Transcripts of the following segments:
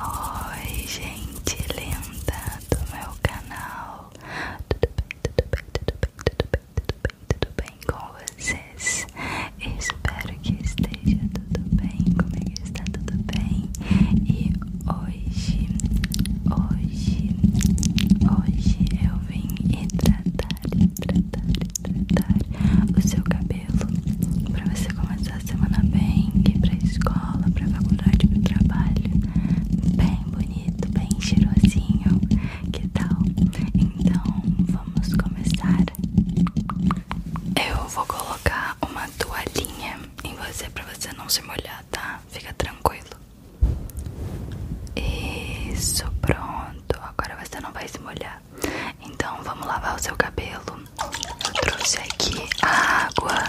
Oi, gente linda do meu canal. Tudo bem, tudo bem, tudo bem, tudo bem, tudo bem, com vocês? Espero que esteja tudo bem. Como é está tudo bem? E hoje, hoje, hoje eu vim tratar, tratar, tratar o seu cabelo cabelo para você começar a semana bem, que ir pra escola, pra faculdade, pro trabalho bem bonito, bem cheirosinho, que tal? Então vamos começar Eu vou colocar uma toalhinha em você pra você não se molhar, tá? Fica tranquilo Isso, pronto, agora você não vai se molhar então vamos lavar o seu cabelo eu trouxe aqui a água.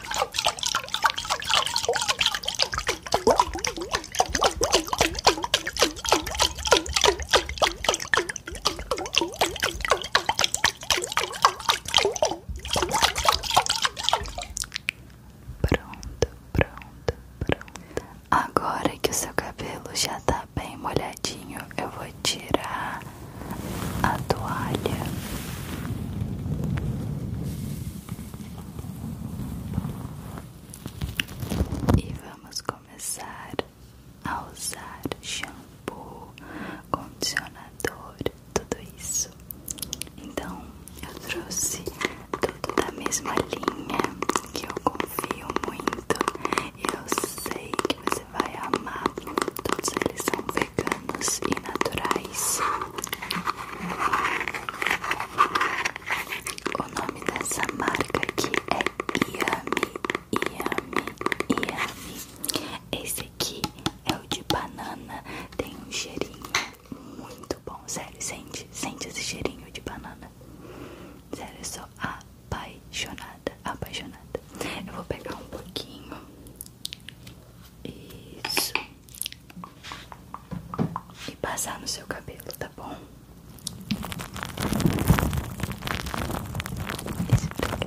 Pronto, pronto, pronto. Agora que o seu cabelo já tá bem molhadinho, eu vou tirar a toalha. E vamos começar a usar shampoo, condicionador, tudo isso. Então, eu trouxe tudo da mesma linha que eu confio muito. Eu sei que você vai amar. Todos eles são veganos e naturais. O nome dessa marca aqui é Iami Iami Iami Esse aqui é o de banana, tem um cheirinho muito bom, sério, sente, sente esse cheirinho de banana. Sério, eu sou apaixonada, apaixonada. Eu vou pegar um pouquinho. Isso e passar no seu cabelo, tá bom? Esfrega,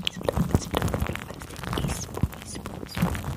esfrega, esfrega, esfrega pra fazer isso, isso, isso. Esfrega,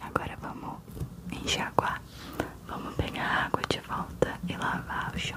Agora vamos enxaguar. Vamos pegar a água de volta e lavar o chão.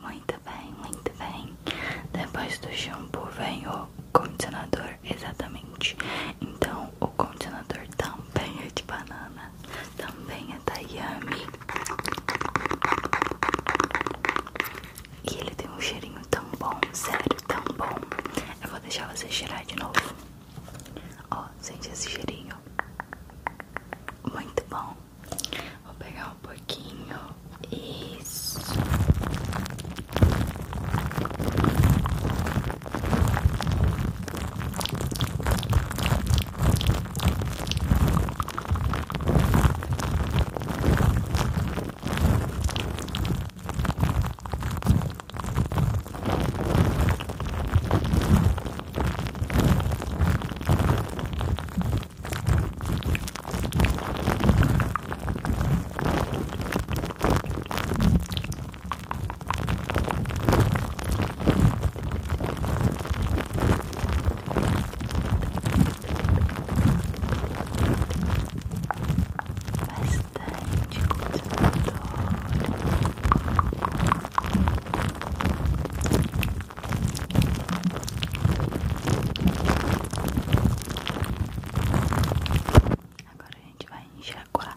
Muito bem, muito bem. Depois do shampoo vem o condicionador, exatamente. Então o condicionador também é de banana, também é da Yami. E ele tem um cheirinho tão bom, sério, tão bom. Eu vou deixar você cheirar de novo. Ó, sente esse cheirinho. Muito bom. Vou pegar um pouquinho. Isso. Bastante conservador. Agora a gente vai enxaguar.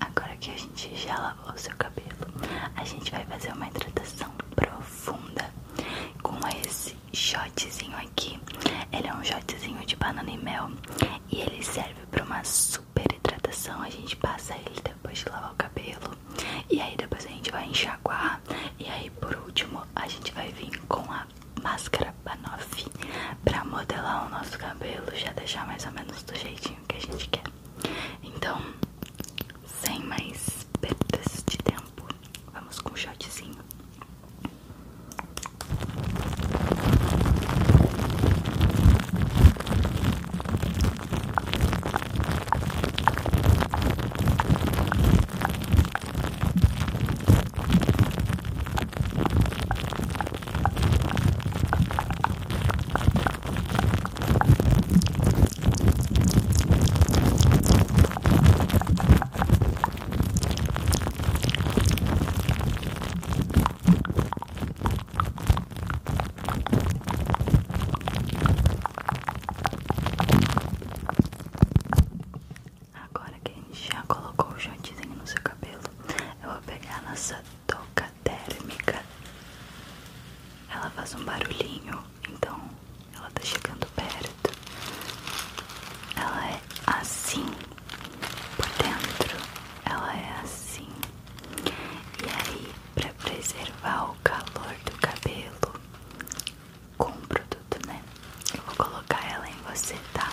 agora que a gente já lavou o seu cabelo, a gente vai fazer uma hidratação profunda com esse shotzinho aqui. Ele é um shotzinho de banana e mel e ele serve para uma super hidratação. A gente passa ele depois de lavar o cabelo e aí depois a gente vai enxaguar e aí por último a gente vai vir com a máscara Banoff para modelar o nosso cabelo, e já deixar mais ou menos do jeitinho que a gente quer. Então, sem mais perdas de tempo, vamos com um shotzinho. Agora que a gente já colocou o chantezinho no seu cabelo, eu vou pegar a nossa touca térmica ela faz um barulhinho, então ela tá chegando perto. Ela é assim por dentro, ela é assim. E aí, para preservar o calor do cabelo com o produto, né? Eu vou colocar ela em você, tá?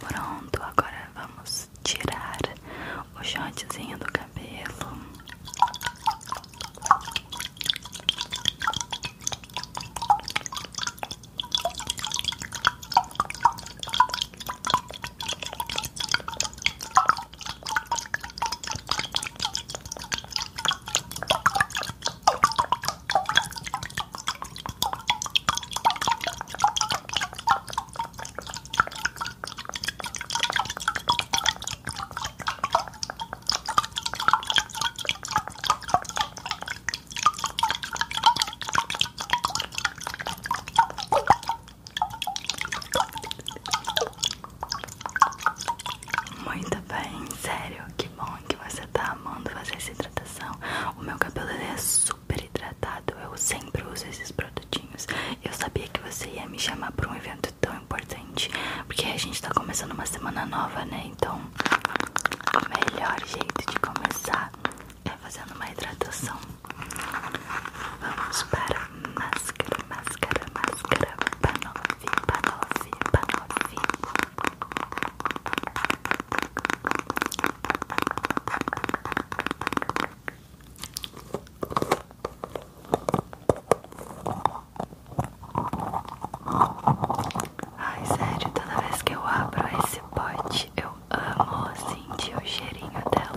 Pronto, agora vamos tirar o shortzinho do cabelo. Muito bem, sério, que bom que você tá amando fazer essa hidratação. O meu cabelo é super hidratado, eu sempre uso esses produtinhos. Eu sabia que você ia me chamar pra um evento tão importante, porque a gente tá começando uma semana nova, né? Então, o melhor jeito de começar é fazendo uma hidratação. Vamos para máscara, máscara, máscara, para para panofi, para panofi. Ai, sério, toda vez que eu abro esse pote, eu amo sentir assim, o cheirinho dela.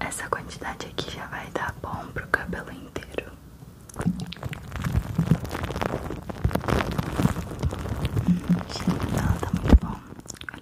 Essa quantidade aqui já vai dar bom pro cabelo inteiro. Hum, tá muito bom.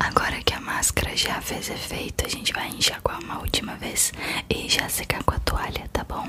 Agora que a máscara já fez efeito, a gente vai enxaguar uma última vez e já secar com a toalha, tá bom?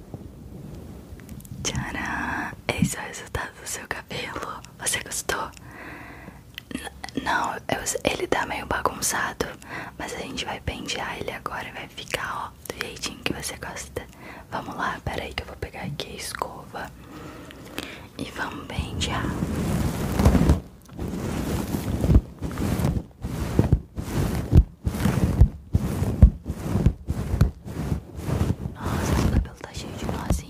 Tcharam! Esse é o resultado do seu cabelo. Você gostou? não, ele tá meio bagunçado, mas a gente vai pentear ele agora e vai ficar, ó, do jeitinho que você gosta. Vamos lá, peraí que eu vou pegar aqui a escova e vamos pentear. Nossa, o cabelo tá cheio de nozinha.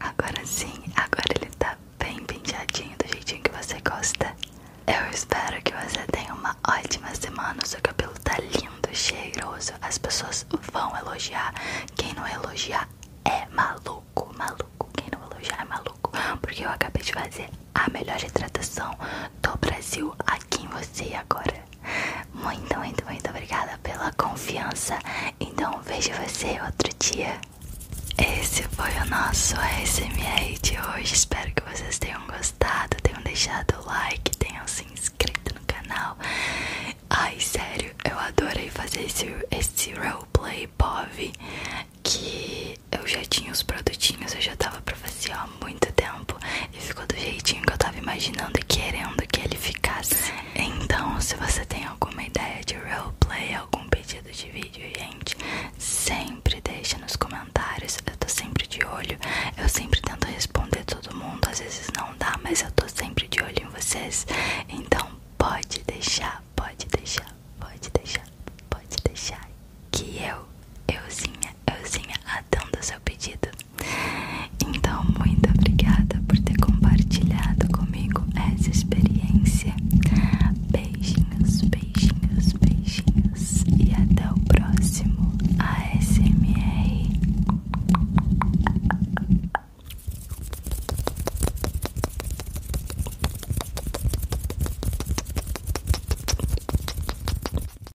Agora sim, agora ele tá bem penteadinho do jeitinho que você gosta. Eu espero que você tenha uma ótima semana. O seu cabelo tá lindo, cheiroso. As pessoas vão elogiar. Quem não elogiar é maluco, maluco. Quem não elogiar é maluco. Porque eu acabei de fazer a melhor retratação do Brasil aqui em você agora. Muito, muito, muito obrigada pela confiança. Então vejo você outro dia. Esse foi o nosso ASMR de hoje. Espero que vocês tenham gostado, tenham deixado o like, tenham se inscrito no canal. Ai, sério, eu adorei fazer esse, esse roleplay POV que eu já tinha os produtinhos, eu já tava pra você há muito tempo e ficou do jeitinho que eu tava imaginando e querendo que ele ficasse. Então, se você tem alguma ideia de roleplay, algum pedido de vídeo, gente, sempre deixa nos comentários. Eu tô sempre de olho, eu sempre tento responder todo mundo. Às vezes não dá, mas eu tô sempre de olho em vocês. Então, pode deixar, pode deixar, pode deixar, pode deixar que eu, euzinha, euzinha, atendo seu pedido. Então, muito obrigada por ter compartilhado comigo essa experiência. Beijinhos, beijinhos, beijinhos e até o próximo ASMR.